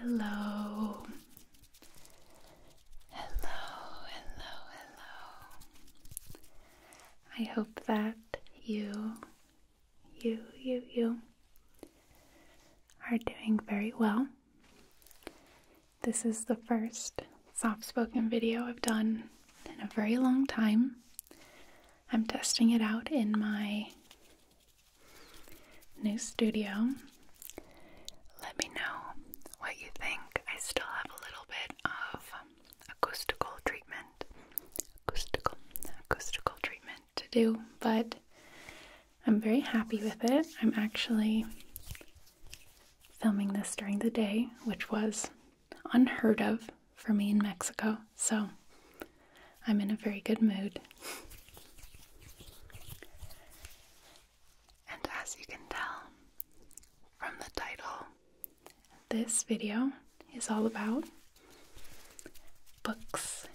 Hello. Hello, hello, hello. I hope that you, you, you, you are doing very well. This is the first soft spoken video I've done in a very long time. I'm testing it out in my new studio. Let me know what you think. I still have a little bit of acoustical treatment, acoustical, acoustical treatment to do, but I'm very happy with it. I'm actually filming this during the day, which was unheard of for me in Mexico, so I'm in a very good mood. and as you can tell from the title, this video is all about books.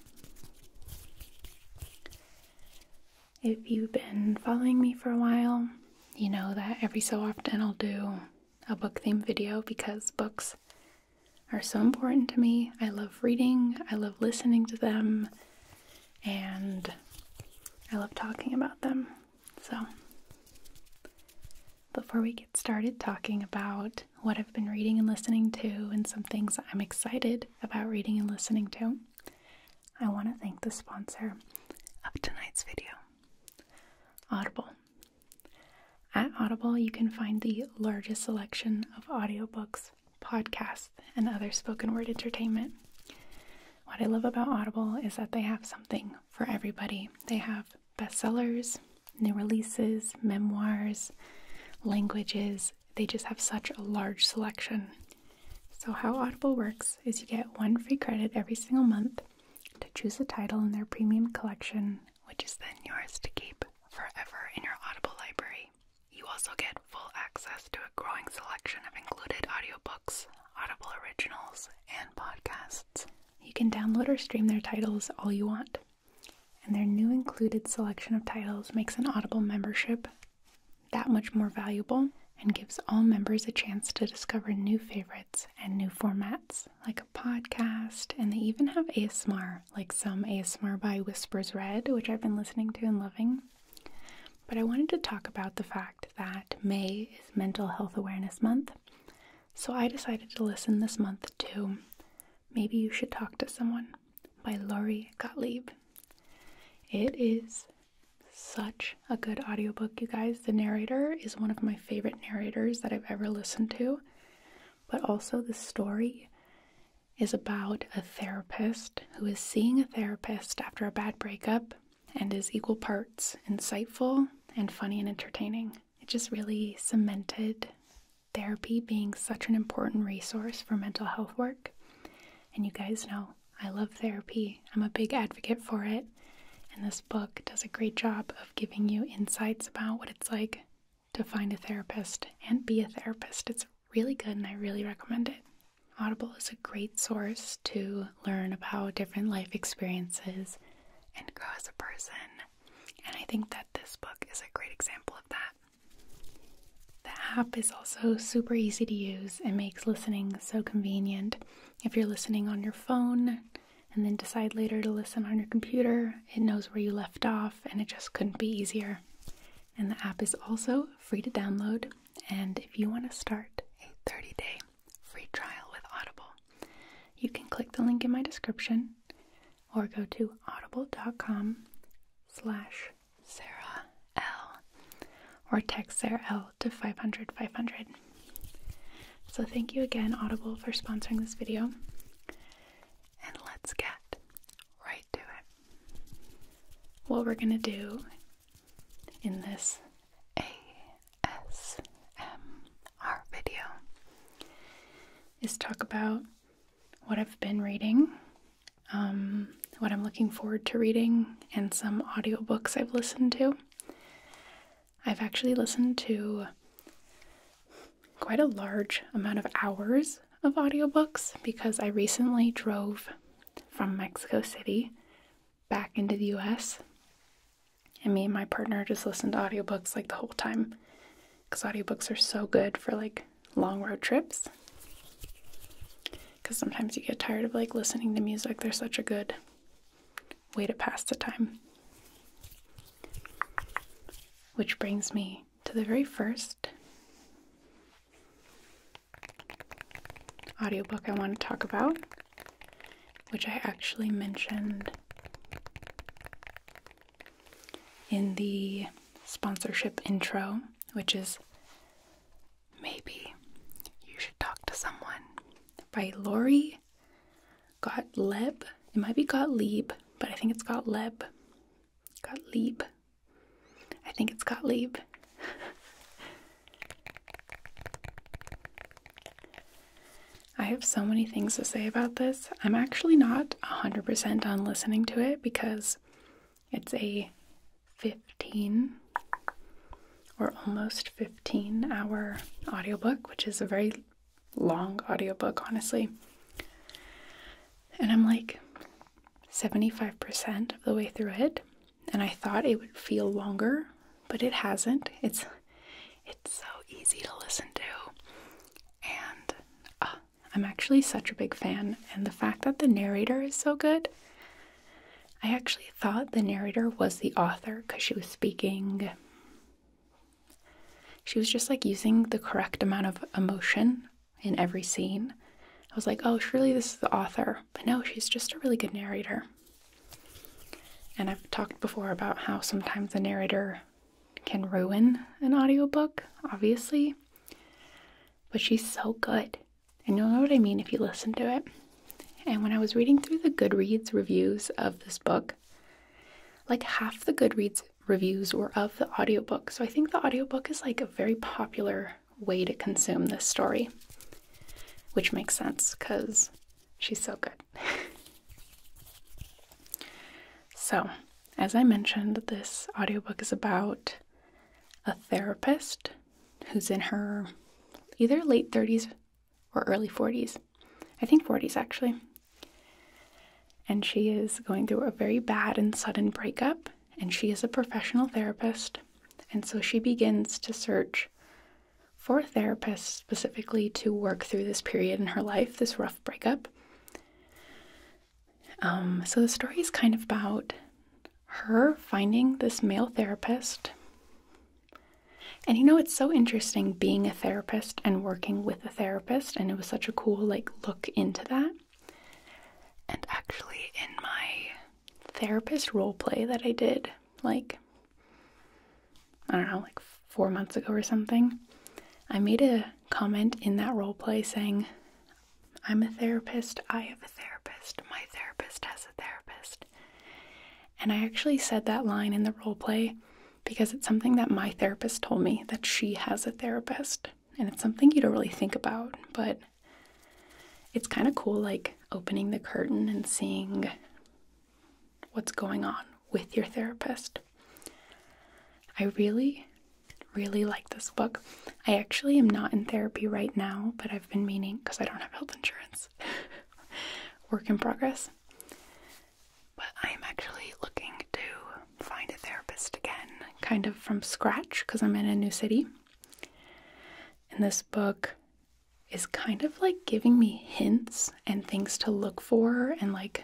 If you've been following me for a while, you know that every so often I'll do a book themed video because books are so important to me. I love reading, I love listening to them, and I love talking about them. So, before we get started talking about what I've been reading and listening to and some things I'm excited about reading and listening to, I want to thank the sponsor of tonight's video, Audible. At Audible, you can find the largest selection of audiobooks, podcasts, and other spoken word entertainment. What I love about Audible is that they have something for everybody. They have bestsellers, new releases, memoirs, languages. They just have such a large selection. So, how Audible works is you get one free credit every single month to choose a title in their premium collection which is then yours to keep forever in your Audible library. You also get full access to a growing selection of included audiobooks, Audible originals, and podcasts. You can download or stream their titles all you want. And their new included selection of titles makes an Audible membership that much more valuable and gives all members a chance to discover new favorites and new formats like a podcast, and they even have ASMR, like some ASMR by Whispers Red, which I've been listening to and loving. But I wanted to talk about the fact that May is Mental Health Awareness Month. So I decided to listen this month to Maybe You Should Talk to Someone by Laurie Gottlieb. It is such a good audiobook, you guys. The narrator is one of my favorite narrators that I've ever listened to but also the story is about a therapist who is seeing a therapist after a bad breakup and is equal parts insightful and funny and entertaining. It just really cemented therapy being such an important resource for mental health work. And you guys know I love therapy, I'm a big advocate for it. And this book does a great job of giving you insights about what it's like to find a therapist and be a therapist. It's really good and I really recommend it. Audible is a great source to learn about different life experiences and grow as a person. And I think that this book is a great example of that. The app is also super easy to use and makes listening so convenient. If you're listening on your phone, and then decide later to listen on your computer. It knows where you left off, and it just couldn't be easier. And the app is also free to download. And if you want to start a 30 day free trial with Audible, you can click the link in my description or go to audible.com slash sarahl or text sarahl to 500 500. So thank you again, Audible, for sponsoring this video and let's get right to it. What we're going to do in this ASMR video is talk about what I've been reading, um, what I'm looking forward to reading, and some audiobooks I've listened to. I've actually listened to quite a large amount of hours of audiobooks because I recently drove from Mexico City back into the US. And me and my partner just listened to audiobooks like the whole time because audiobooks are so good for like long road trips. Because sometimes you get tired of like listening to music, they're such a good way to pass the time. Which brings me to the very first audiobook I want to talk about, which I actually mentioned in the sponsorship intro, which is Maybe You Should Talk to Someone by Lori Got Gottlieb. It might be Got Gottlieb, but I think it's Got it's Got Gottlieb. I think it's Got Gottlieb. I have so many things to say about this. I'm actually not 100% on listening to it because it's a 15 or almost 15 hour audiobook, which is a very long audiobook, honestly. And I'm like 75% of the way through it, and I thought it would feel longer, but it hasn't. It's it's so easy to listen to. And uh, I'm actually such a big fan, and the fact that the narrator is so good, I actually thought the narrator was the author because she was speaking she was just like using the correct amount of emotion in every scene. I was like, oh, surely this is the author. But no, she's just a really good narrator. And I've talked before about how sometimes the narrator can ruin an audiobook, obviously. But she's so good. And you'll know what I mean if you listen to it. And when I was reading through the Goodreads reviews of this book, like half the Goodreads reviews were of the audiobook. So I think the audiobook is like a very popular way to consume this story, which makes sense because she's so good. so, as I mentioned, this audiobook is about a therapist who's in her either late 30s or early 40s I think 40s actually. And she is going through a very bad and sudden breakup, and she is a professional therapist. And so she begins to search for a therapist specifically to work through this period in her life, this rough breakup. Um, so the story is kind of about her finding this male therapist. And you know, it's so interesting being a therapist and working with therapist and it was such a cool like look into that. And actually in my therapist role play that I did like I don't know, like 4 months ago or something, I made a comment in that role play saying I'm a therapist, I have a therapist, my therapist has a therapist. And I actually said that line in the role play because it's something that my therapist told me that she has a therapist. And it's something you don't really think about, but it's kind of cool, like opening the curtain and seeing what's going on with your therapist. I really, really like this book. I actually am not in therapy right now, but I've been meaning because I don't have health insurance. Work in progress. But I'm actually looking to find a therapist again, kind of from scratch, because I'm in a new city. And this book is kind of like giving me hints and things to look for and like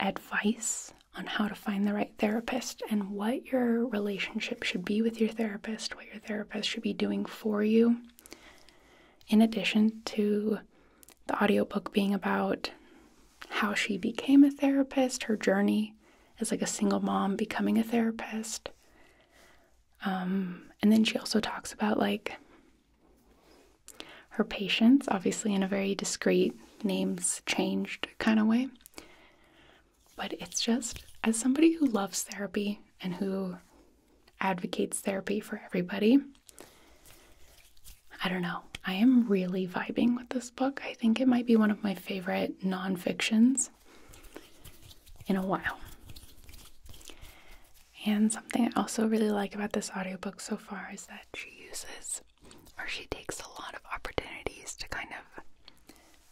advice on how to find the right therapist and what your relationship should be with your therapist, what your therapist should be doing for you, in addition to the audiobook being about how she became a therapist, her journey as like a single mom becoming a therapist. Um, and then she also talks about like her patients, obviously in a very discreet, names changed kind of way. But it's just, as somebody who loves therapy and who advocates therapy for everybody. I don't know. I am really vibing with this book. I think it might be one of my favorite non nonfictions in a while. And something I also really like about this audiobook so far is that she uses or she takes a lot of opportunities to kind of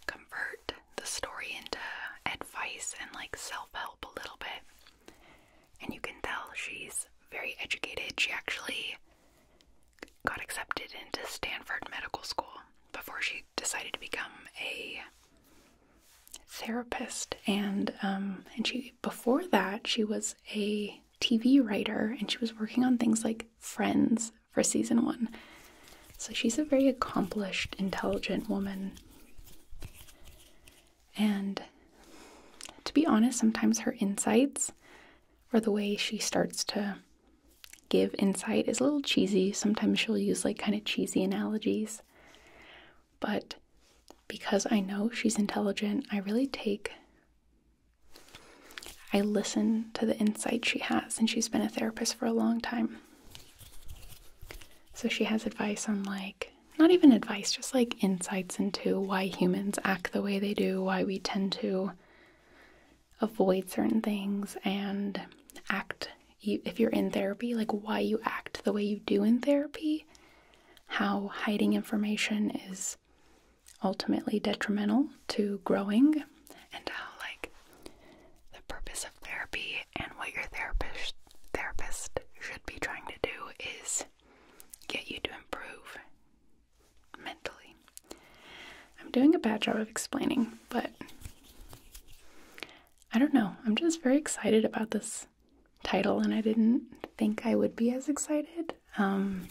convert the story into advice and like self help a little bit. And you can tell she's very educated. She actually got accepted into Stanford Medical School before she decided to become a therapist. And um, and she before that she was a TV writer and she was working on things like Friends for season one. So she's a very accomplished, intelligent woman. And to be honest, sometimes her insights or the way she starts to give insight is a little cheesy. Sometimes she'll use like kind of cheesy analogies. But because I know she's intelligent, I really take I listen to the insight she has, and she's been a therapist for a long time. So she has advice on like not even advice, just like insights into why humans act the way they do, why we tend to avoid certain things and act if you're in therapy, like why you act the way you do in therapy, how hiding information is ultimately detrimental to growing, and how like the purpose of therapy and what your therapist therapist should be trying to do is get you to improve mentally. I'm doing a bad job of explaining, but I don't know. I'm just very excited about this title, and I didn't think I would be as excited. Um,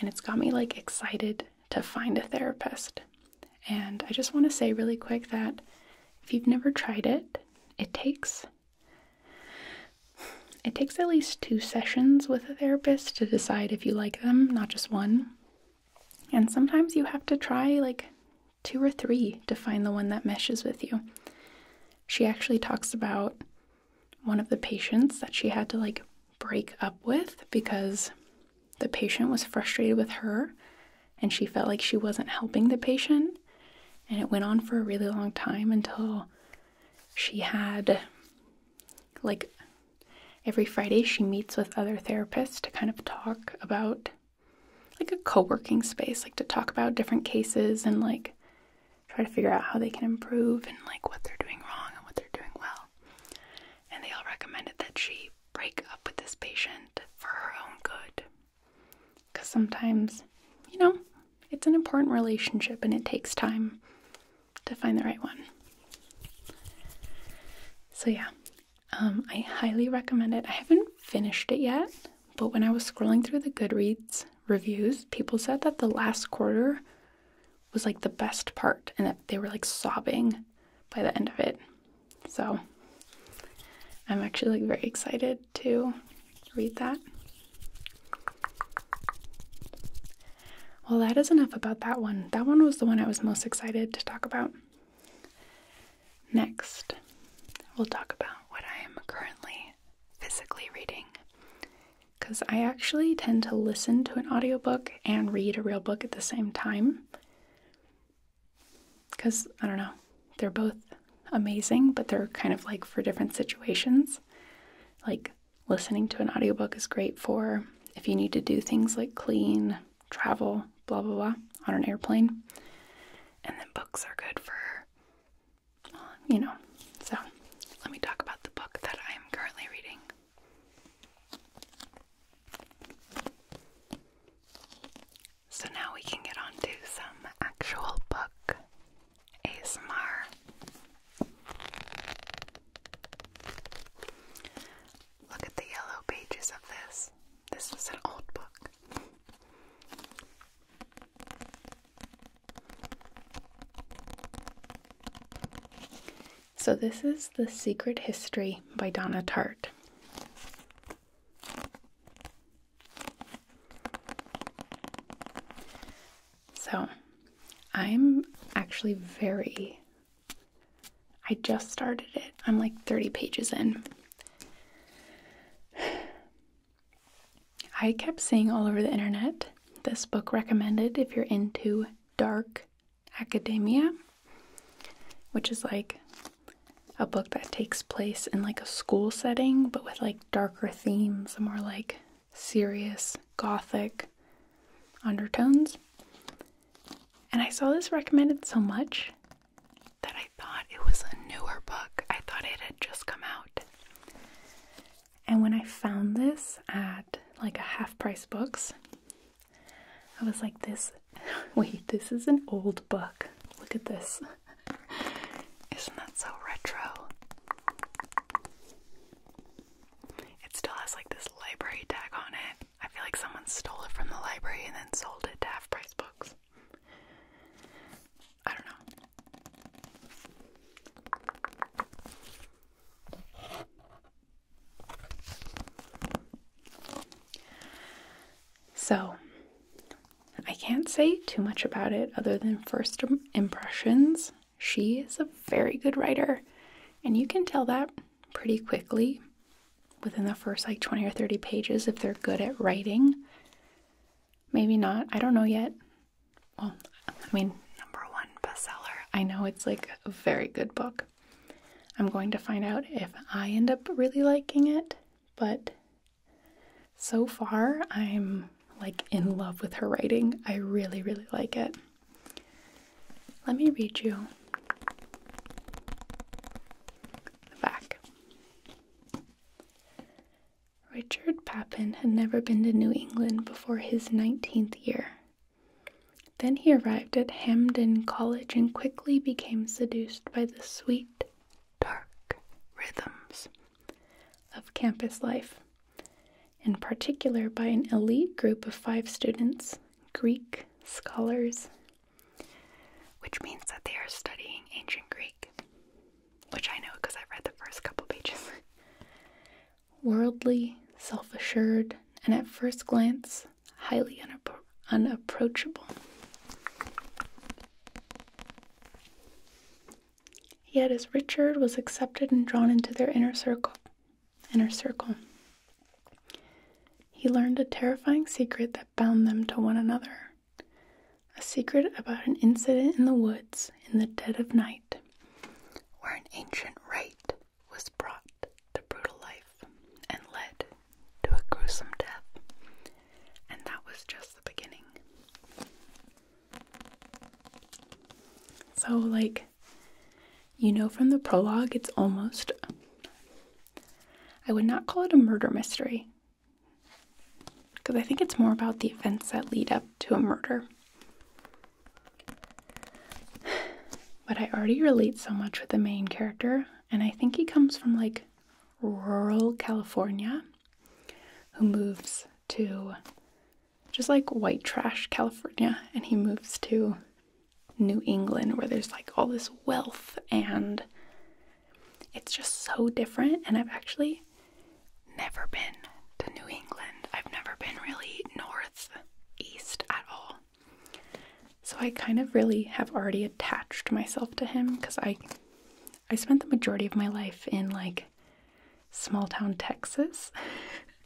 and it's got me like excited to find a therapist. And I just want to say really quick that if you've never tried it, it takes it takes at least two sessions with a therapist to decide if you like them, not just one. And sometimes you have to try like two or three to find the one that meshes with you. She actually talks about one of the patients that she had to like break up with because the patient was frustrated with her and she felt like she wasn't helping the patient and it went on for a really long time until she had like every Friday she meets with other therapists to kind of talk about like a co-working space like to talk about different cases and like try to figure out how they can improve and like what they're doing wrong and what they're doing well. And they all recommended that she break up with this patient for her own good because sometimes, you know, it's an important relationship and it takes time to find the right one. So, yeah, um, I highly recommend it. I haven't finished it yet, but when I was scrolling through the Goodreads reviews, people said that the last quarter was like the best part and that they were like sobbing by the end of it. So, I'm actually like very excited to Read that. Well, that is enough about that one. That one was the one I was most excited to talk about. Next, we'll talk about what I am currently physically reading. Because I actually tend to listen to an audiobook and read a real book at the same time. Because, I don't know, they're both amazing, but they're kind of like for different situations. Like listening to an audiobook is great for if you need to do things like clean, travel, blah, blah, blah, on an airplane. And then books are good for, um, you know. So let me talk about the book that I am currently reading. So now we can get on to some actual book ASMR. Look at the yellow pages of this. This is an old book. So, this is The Secret History by Donna Tartt. So, I'm actually very. I just started it. I'm like 30 pages in. I kept seeing all over the internet this book recommended if you're into dark academia, which is like a book that takes place in like a school setting but with like darker themes and more like serious gothic undertones. And I saw this recommended so much that I thought it was a newer book. I thought it had just come out. And when I found this at like a half price books, I was like, this, wait, this is an old book. Look at this. Isn't that so retro? It still has like this library tag on it. I feel like someone stole it from the library and then sold it to half price books. I don't know. So, I can't say too much about it other than first impressions. She is a very good writer, and you can tell that pretty quickly within the first like 20 or 30 pages if they're good at writing. Maybe not, I don't know yet. Well, I mean, number one bestseller. I know it's like a very good book. I'm going to find out if I end up really liking it, but so far, I'm like in love with her writing. I really, really like it. Let me read you the back. Richard Papin had never been to New England before his 19th year. Then he arrived at Hamden College and quickly became seduced by the sweet, dark rhythms of campus life, in particular by an elite group of five students, Greek scholars, which means that they are studying ancient Greek, which I know because I read the first couple pages. Worldly, self assured, and at first glance, highly unapproachable. Yet as Richard was accepted and drawn into their inner circle, inner circle, he learned a terrifying secret that bound them to one another. A secret about an incident in the woods in the dead of night, where an ancient rite was brought to brutal life and led to a gruesome death and that was just the beginning. So, like, you know, from the prologue, it's almost. I would not call it a murder mystery. Because I think it's more about the events that lead up to a murder. But I already relate so much with the main character, and I think he comes from like rural California who moves to just like white trash California, and he moves to New England where there's like all this wealth and it's just so different. And I've actually never been to New England, I've never been really north east at all. So I kind of really have already attached myself to him because I I spent the majority of my life in like small town Texas.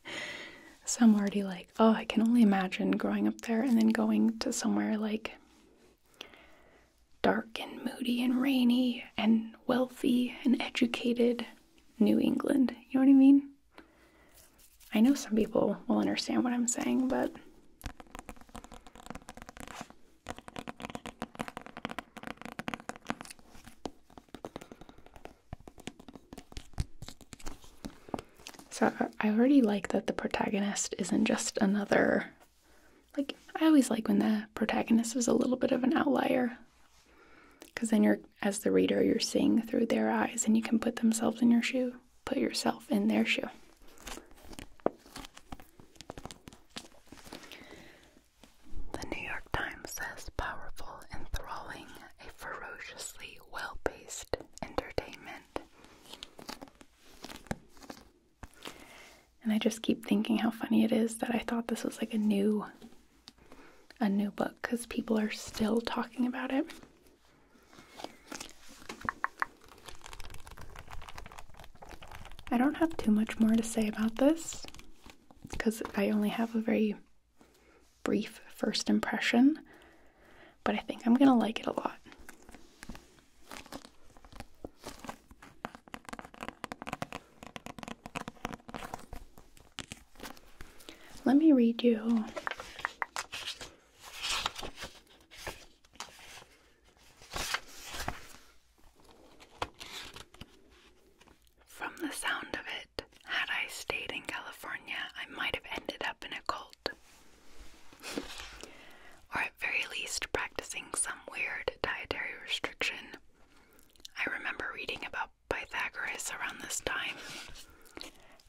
so I'm already like, oh, I can only imagine growing up there and then going to somewhere like dark and moody and rainy and wealthy and educated New England. You know what I mean? I know some people will understand what I'm saying, but so I already like that the protagonist isn't just another. Like, I always like when the protagonist is a little bit of an outlier. Because then you're, as the reader, you're seeing through their eyes and you can put themselves in your shoe, put yourself in their shoe. The New York Times says powerful, and thrilling, a ferociously well paced entertainment. And I just keep thinking how funny it is that I thought this was like a new a new book because people are still talking about it. I don't have too much more to say about this because I only have a very brief first impression, but I think I'm gonna like it a lot. Let me read you from the sound of it, had I stayed in California, I might have ended up in a cult. or at very least, practicing some weird dietary restriction. I remember reading about Pythagoras around this time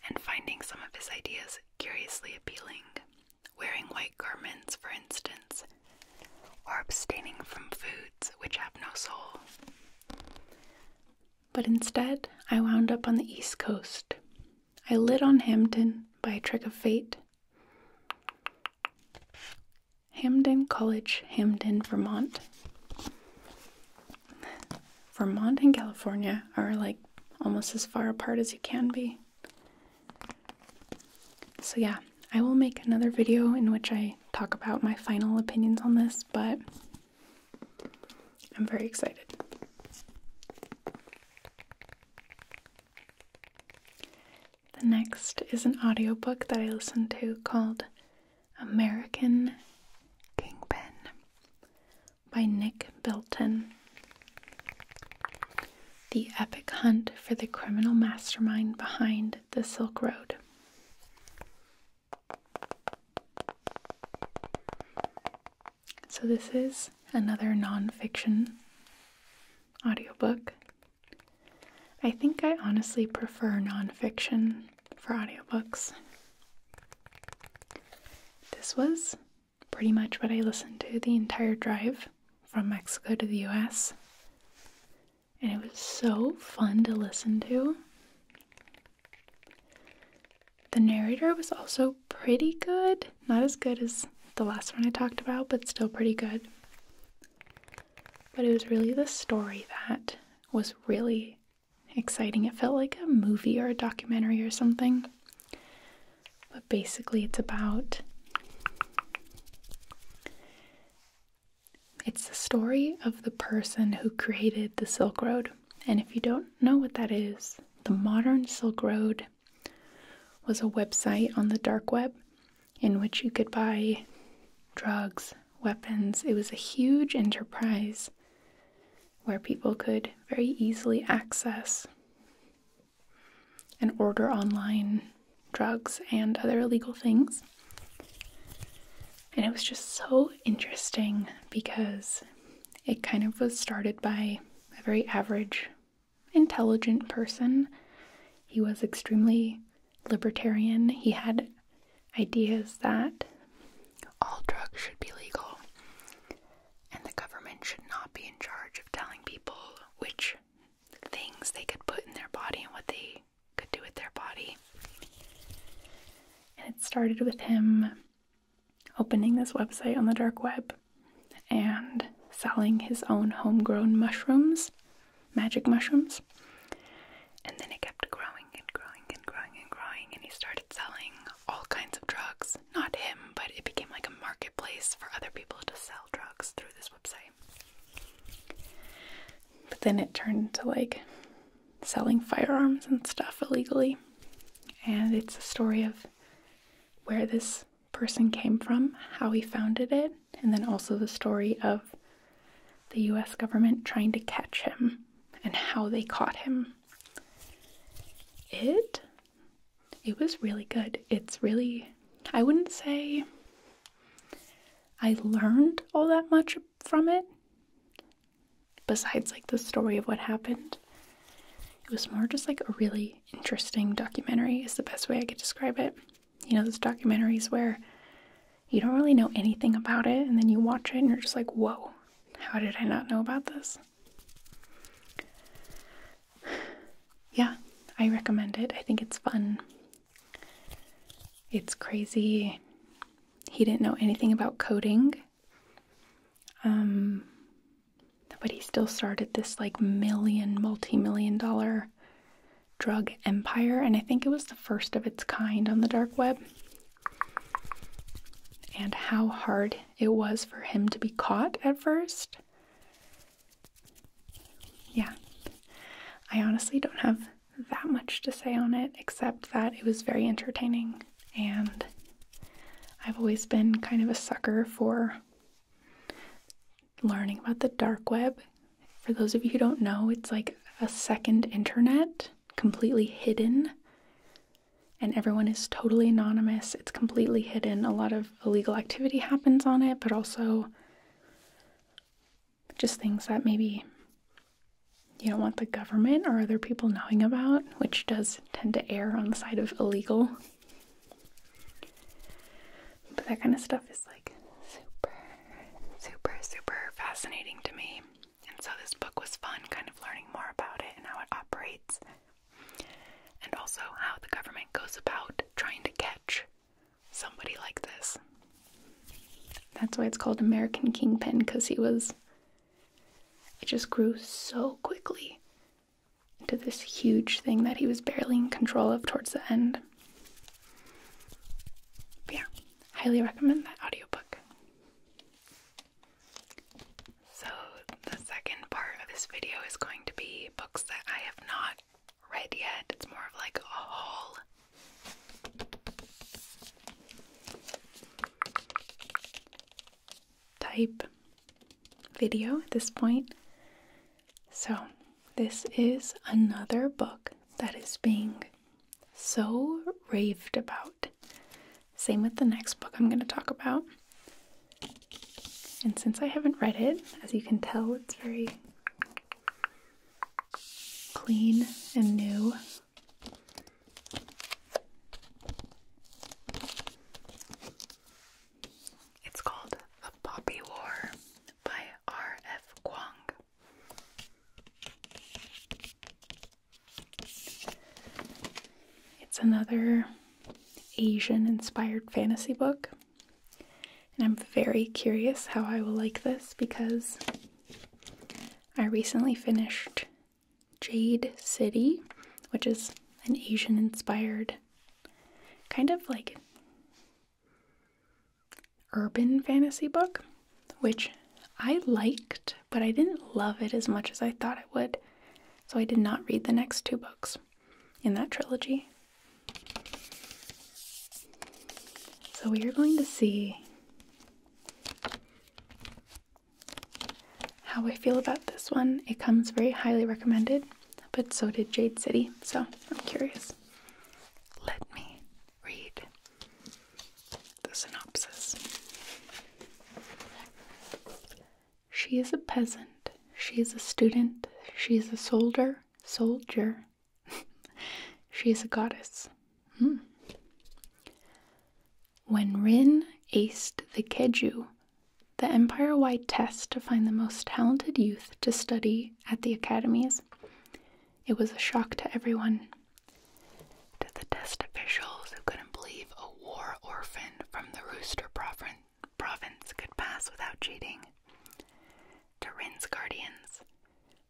and finding some of his ideas curiously appealing, wearing white garments, for instance, or abstaining from foods which have no soul. But instead, I wound up on the East Coast. I lit on Hamden by a trick of fate. Hamden College, Hamden, Vermont. Vermont and California are like almost as far apart as you can be. So, yeah, I will make another video in which I talk about my final opinions on this, but I'm very excited. The next is an audiobook that I listened to called American Kingpin by Nick Bilton the epic hunt for the criminal mastermind behind the Silk Road. So, this is another non-fiction audiobook. I think I honestly prefer non-fiction for audiobooks. This was pretty much what I listened to the entire drive from Mexico to the US. And it was so fun to listen to. The narrator was also pretty good. Not as good as the last one I talked about, but still pretty good. But it was really the story that was really exciting. It felt like a movie or a documentary or something. But basically, it's about it's the story of the person who created the Silk Road. And if you don't know what that is, the modern Silk Road was a website on the dark web in which you could buy drugs, weapons. It was a huge enterprise where people could very easily access and order online drugs and other illegal things. And it was just so interesting because it kind of was started by a very average, intelligent person. He was extremely libertarian. He had ideas that all drugs should be legal and the government should not be in charge of telling people which things they could put in their body and what they could do with their body. And it started with him opening this website on the dark web and selling his own homegrown mushrooms, magic mushrooms. And then it kept growing and growing and growing and growing, and he started selling all kinds of drugs. Not him, but it became like a marketplace for other people to sell drugs through this website. But then it turned to like selling firearms and stuff illegally. And it's a story of where this person came from, how he founded it, and then also the story of the US government trying to catch him and how they caught him. It it was really good. It's really I wouldn't say I learned all that much from it. Besides, like, the story of what happened, it was more just like a really interesting documentary, is the best way I could describe it. You know, those documentaries where you don't really know anything about it, and then you watch it and you're just like, whoa, how did I not know about this? yeah, I recommend it. I think it's fun. It's crazy. He didn't know anything about coding. Um, but he still started this like million, multi million dollar drug empire, and I think it was the first of its kind on the dark web. And how hard it was for him to be caught at first. Yeah, I honestly don't have that much to say on it except that it was very entertaining, and I've always been kind of a sucker for learning about the dark web. For those of you who don't know, it's like a second internet, completely hidden, and everyone is totally anonymous. It's completely hidden. A lot of illegal activity happens on it, but also just things that maybe you don't want the government or other people knowing about, which does tend to err on the side of illegal. But that kind of stuff is like super, super, super fascinating to me. And so this book was fun, kind of learning more about it and how it operates, and also how the government goes about trying to catch somebody like this. That's why it's called American Kingpin, because he was. It just grew so quickly into this huge thing that he was barely in control of towards the end. yeah, highly recommend that audiobook. So, the second part of this video is going to be books that I have not red yet. It's more of like a haul. Type video at this point. So, this is another book that is being so raved about. Same with the next book I'm going to talk about. And since I haven't read it, as you can tell, it's very clean and new. It's called The Poppy War by R.F. Kuang. It's another Asian inspired fantasy book. And I'm very curious how I will like this because I recently finished Jade City, which is an Asian inspired kind of like urban fantasy book, which I liked, but I didn't love it as much as I thought I would. So I did not read the next two books in that trilogy. So we are going to see how I feel about this one. It comes very highly recommended, but so did Jade City, so I'm curious. Let me read the synopsis. She is a peasant, she is a student, she is a soldier, soldier. she is a goddess. Hmm. When Rin aced the Keju, the empire wide test to find the most talented youth to study at the academies, it was a shock to everyone. To the test officials who couldn't believe a war orphan from the Rooster Province province could pass without cheating. To Rin's guardians,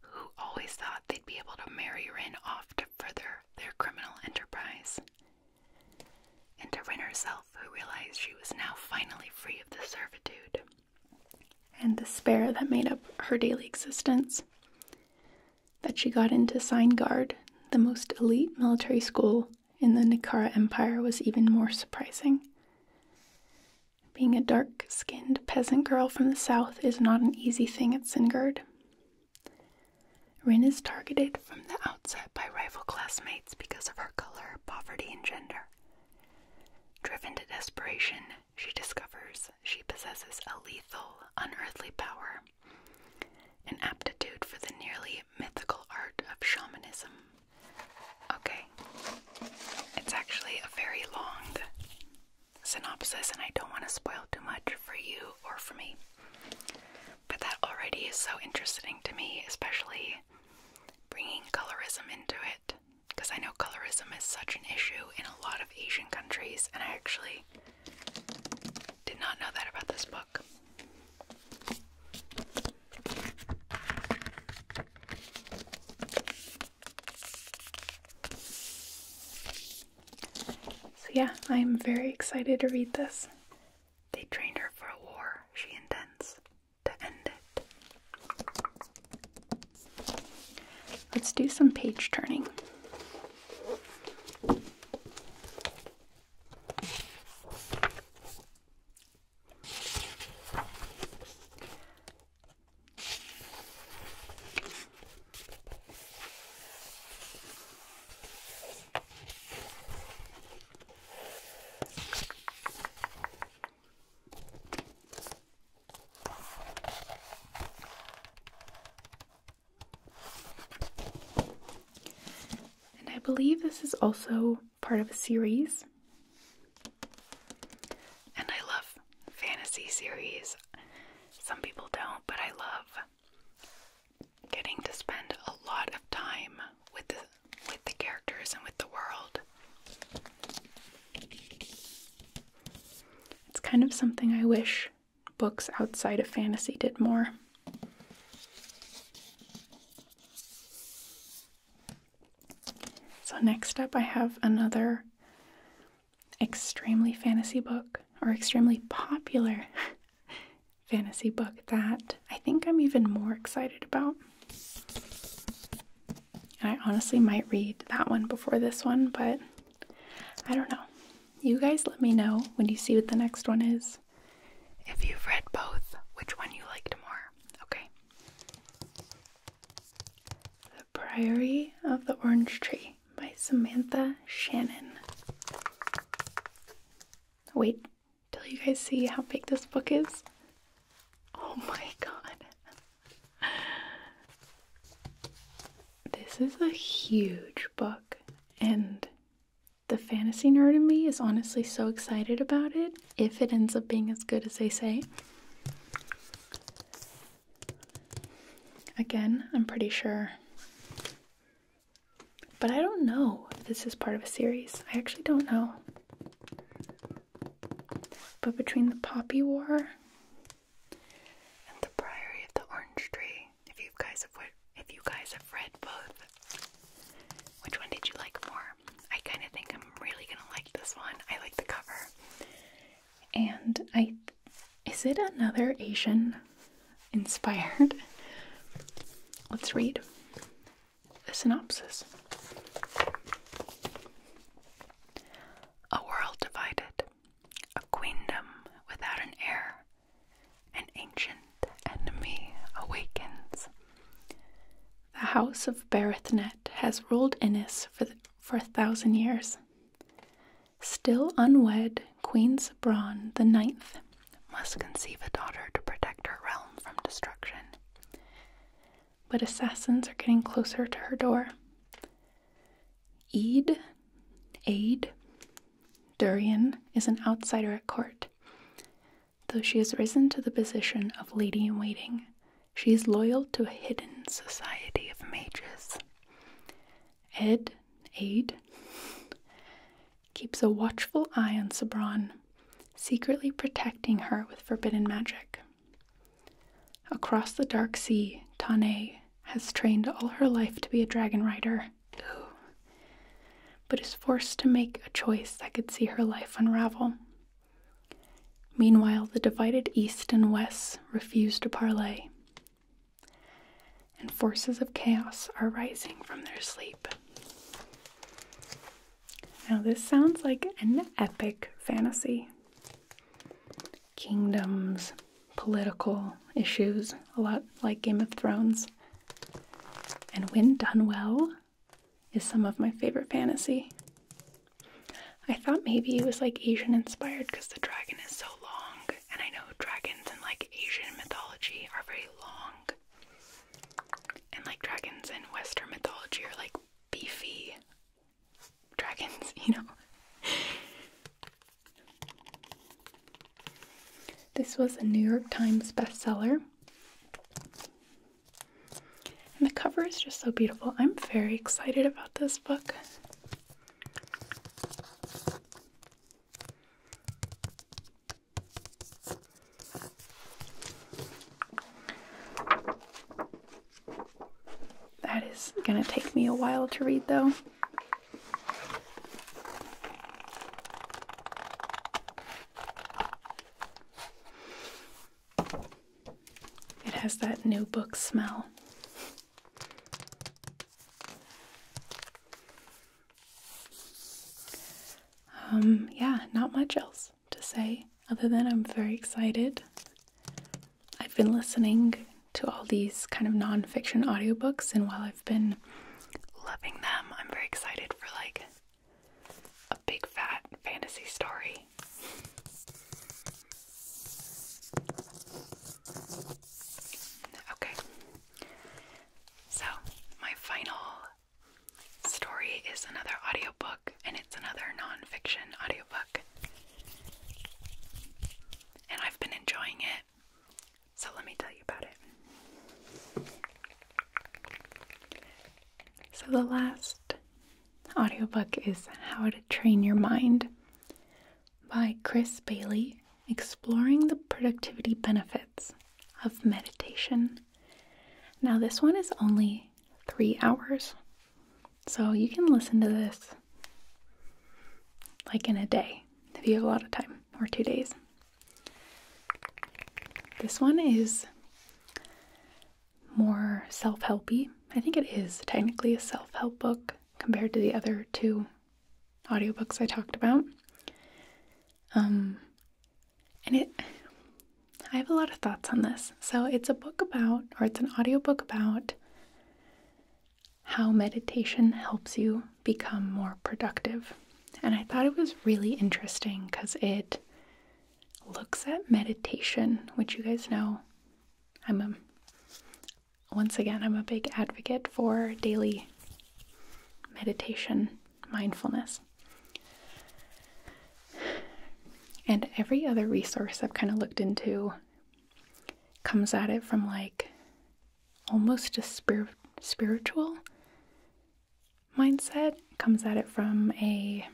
who always thought they'd be able to marry Rin off to further their criminal enterprise. And to Rin herself, who realized she was now finally free of the servitude and despair that made up her daily existence. That she got into Sign Guard, the most elite military school in the Nikara Empire, was even more surprising. Being a dark skinned peasant girl from the south is not an easy thing at Singard. Rin is targeted from the outset by rival classmates because of her color, poverty, and gender. Driven to desperation, she discovers she possesses a lethal, unearthly power, an aptitude for the nearly mythical art of shamanism. Okay. It's actually a very long synopsis, and I don't want to spoil too much for you or for me. But that already is so interesting to me, especially bringing colorism into it. Because I know colorism is such an issue in a lot of Asian countries, and I actually did not know that about this book. So, yeah, I am very excited to read this. They trained her for a war she intends to end it. Let's do some page turning. And I believe this is also part of a series. And I love fantasy series. Some people don't, but I love getting to spend a lot of time with the with the characters and with the world. It's kind of something I wish books outside of fantasy did more. So, next up, I have another extremely fantasy book or extremely popular fantasy book that I think I'm even more excited about. I honestly might read that one before this one, but I don't know. You guys let me know when you see what the next one is. If you've read both, which one you liked more. Okay. The Priory of the Orange Tree by Samantha Shannon. Wait till you guys see how big this book is. Oh my god. This is a huge book, and the fantasy nerd in me is honestly so excited about it if it ends up being as good as they say. Again, I'm pretty sure. But I don't know if this is part of a series. I actually don't know. But between the Poppy War and the Priory of the Orange Tree, if you guys have read both, which one did you like more? I kind of think I'm really gonna like this one. I like the cover. And I is it another Asian inspired? Let's read the synopsis. A world divided, a queendom without an heir, an ancient enemy awakens. The house of Berethnet has ruled Innis for, for a thousand years. Still unwed, Queen Sabron the Ninth must conceive a daughter to protect her realm from destruction. But assassins are getting closer to her door. Eid, Aid, Durian is an outsider at court. Though she has risen to the position of lady in waiting, she is loyal to a hidden society of mages. Ed, Aid, keeps a watchful eye on Sabran, secretly protecting her with forbidden magic. Across the dark sea, Tane has trained all her life to be a dragon rider, but is forced to make a choice that could see her life unravel. Meanwhile, the divided East and West refuse to parley, and forces of chaos are rising from their sleep. Now, this sounds like an epic fantasy. Kingdoms, political issues, a lot like Game of Thrones. And when done well, is some of my favorite fantasy. I thought maybe it was like Asian inspired because the dragon is so long, and I know dragons in like Asian mythology are very long, and like dragons in Western mythology are like beefy dragons, you know. This was a New York Times bestseller. And the cover is just so beautiful. I'm very excited about this book. That is going to take me a while to read, though. It has that new book smell. Um, yeah, not much else to say other than I'm very excited. I've been listening to all these kind of nonfiction audiobooks, and while I've been loving them, I'm very excited for like a big fat fantasy story. Okay. So, my final story is another audiobook, and it's another nonfiction audiobook. And I've been enjoying it, so let me tell you about it. So, the last the audiobook is How to Train Your Mind by Chris Bailey, exploring the productivity benefits of meditation. Now, this one is only three hours, so you can listen to this like in a day if you have a lot of time or two days. This one is more self helpy. I think it is technically a self help book compared to the other two audiobooks I talked about. Um, and it, I have a lot of thoughts on this. So it's a book about, or it's an audiobook about how meditation helps you become more productive. And I thought it was really interesting because it looks at meditation, which you guys know I'm once again, I'm a big advocate for daily meditation, mindfulness. And every other resource I've kind of looked into comes at it from like almost a spiritual mindset comes at it from a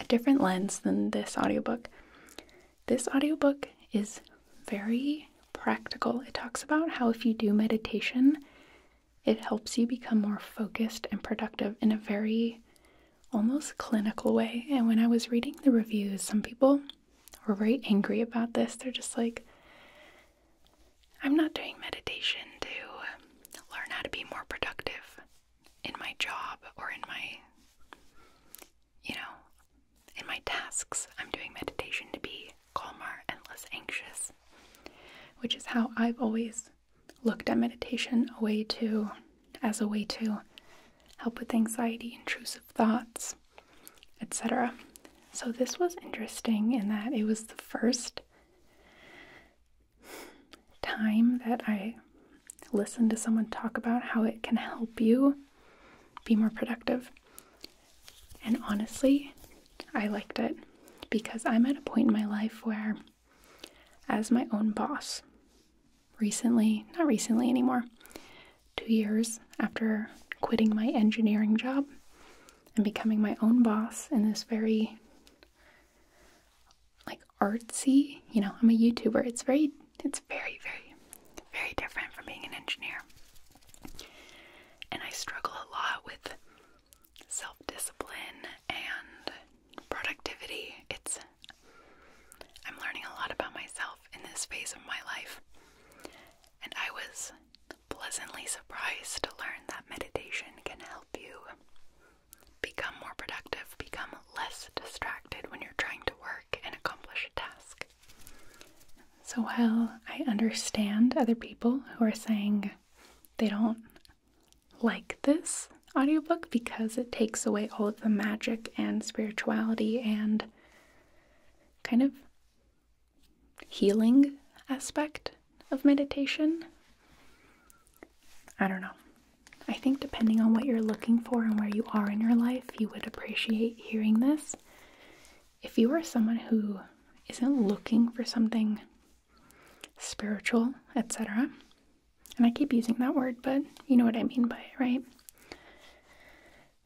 a different lens than this audiobook. This audiobook is very practical. It talks about how if you do meditation, it helps you become more focused and productive in a very almost clinical way. And when I was reading the reviews, some people were very angry about this. They're just like, I'm not doing meditation to learn how to be more productive in my job or in my, you know, in my tasks. I'm doing meditation to be calmer and less anxious, which is how I've always looked at meditation a way to as a way to help with anxiety, intrusive thoughts, etc. So this was interesting in that it was the first time that I listened to someone talk about how it can help you be more productive. And honestly, I liked it because I'm at a point in my life where, as my own boss, recently, not recently anymore, two years after quitting my engineering job, and becoming my own boss in this very like artsy, you know, I'm a YouTuber. It's very it's very very very different from being an engineer. And I struggle a lot with self-discipline and productivity. It's I'm learning a lot about myself in this phase of my life. And I was pleasantly surprised to learn that meditation can help you become more productive, become less distracted when you're trying to work and accomplish a task. So while I understand other people who are saying they don't like this audiobook because it takes away all of the magic and spirituality and kind of healing aspect of meditation. I don't know. I think depending on what you're looking for and where you are in your life, you would appreciate hearing this. If you are someone who isn't looking for something spiritual, etc., and I keep using that word, but you know what I mean by it, right?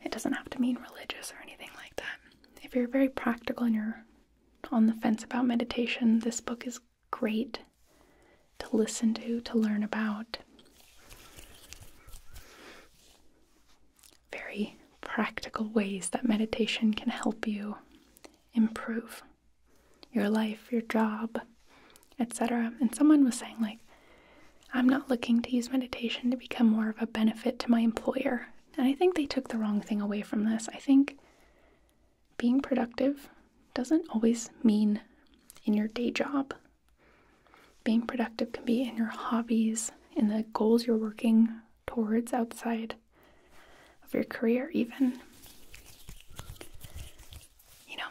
It doesn't have to mean religious or anything like that. If you're very practical in your on the fence about meditation, this book is great to listen to, to learn about. Very practical ways that meditation can help you improve your life, your job, etc. And someone was saying, like, I'm not looking to use meditation to become more of a benefit to my employer. And I think they took the wrong thing away from this. I think being productive doesn't always mean in your day job. Being productive can be in your hobbies, in the goals you're working towards outside of your career, even. You know,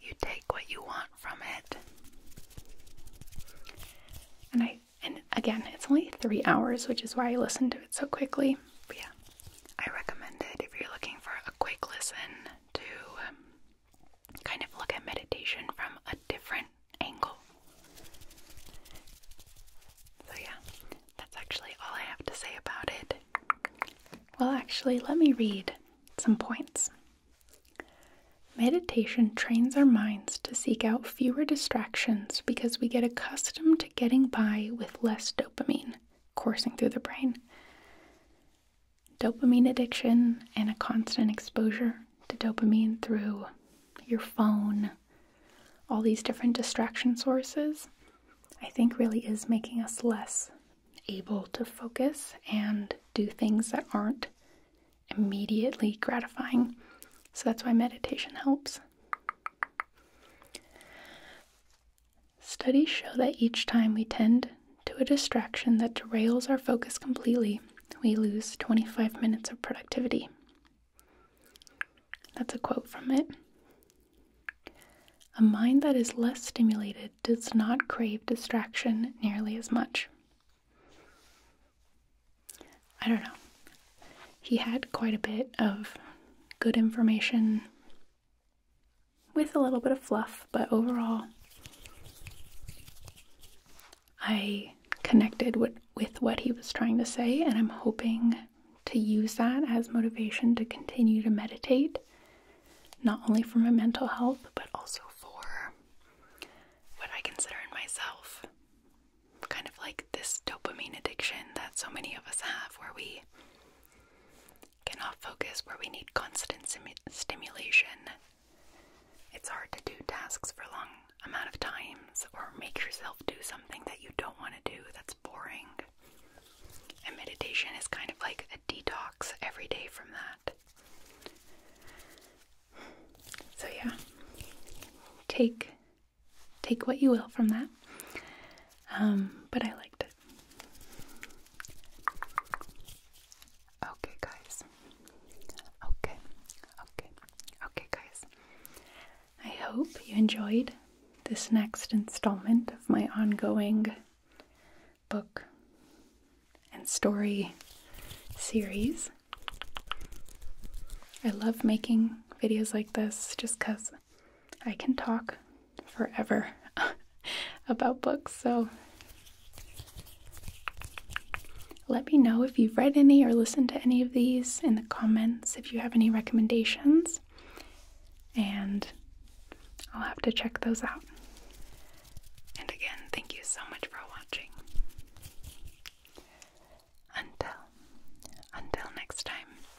you take what you want from it. And I and again, it's only three hours, which is why I listened to it so quickly. But yeah, I recommend it if you're looking for a quick listen to kind of look at meditation from a different angle. So, yeah, that's actually all I have to say about it. Well, actually, let me read some points. Meditation trains our minds to seek out fewer distractions because we get accustomed to getting by with less dopamine coursing through the brain. Dopamine addiction and a constant exposure to dopamine through your phone, all these different distraction sources, I think really is making us less able to focus and do things that aren't immediately gratifying. So that's why meditation helps. Studies show that each time we tend to a distraction that derails our focus completely, we lose 25 minutes of productivity. That's a quote from it. A mind that is less stimulated does not crave distraction nearly as much. I don't know. He had quite a bit of good information with a little bit of fluff, but overall, I connected with, what he was trying to say, and I'm hoping to use that as motivation to continue to meditate, not only for my mental health, but also for what I consider myself kind of like this dopamine addiction that so many of us have, where we cannot focus, where we need constant stimulation. It's hard to do tasks for long amount of times or make yourself do something that you don't want to do that's boring. And meditation is kind of like a detox every day from that. So, yeah, take take what you will from that. Um, but I liked it. Okay, guys. Okay, okay, okay, guys. I hope you enjoyed this next installment of my ongoing book and story series. I love making videos like this just because I can talk forever about books, so let me know if you've read any or listened to any of these in the comments if you have any recommendations, and I'll have to check those out. And again, thank you so much for watching. Until until next time.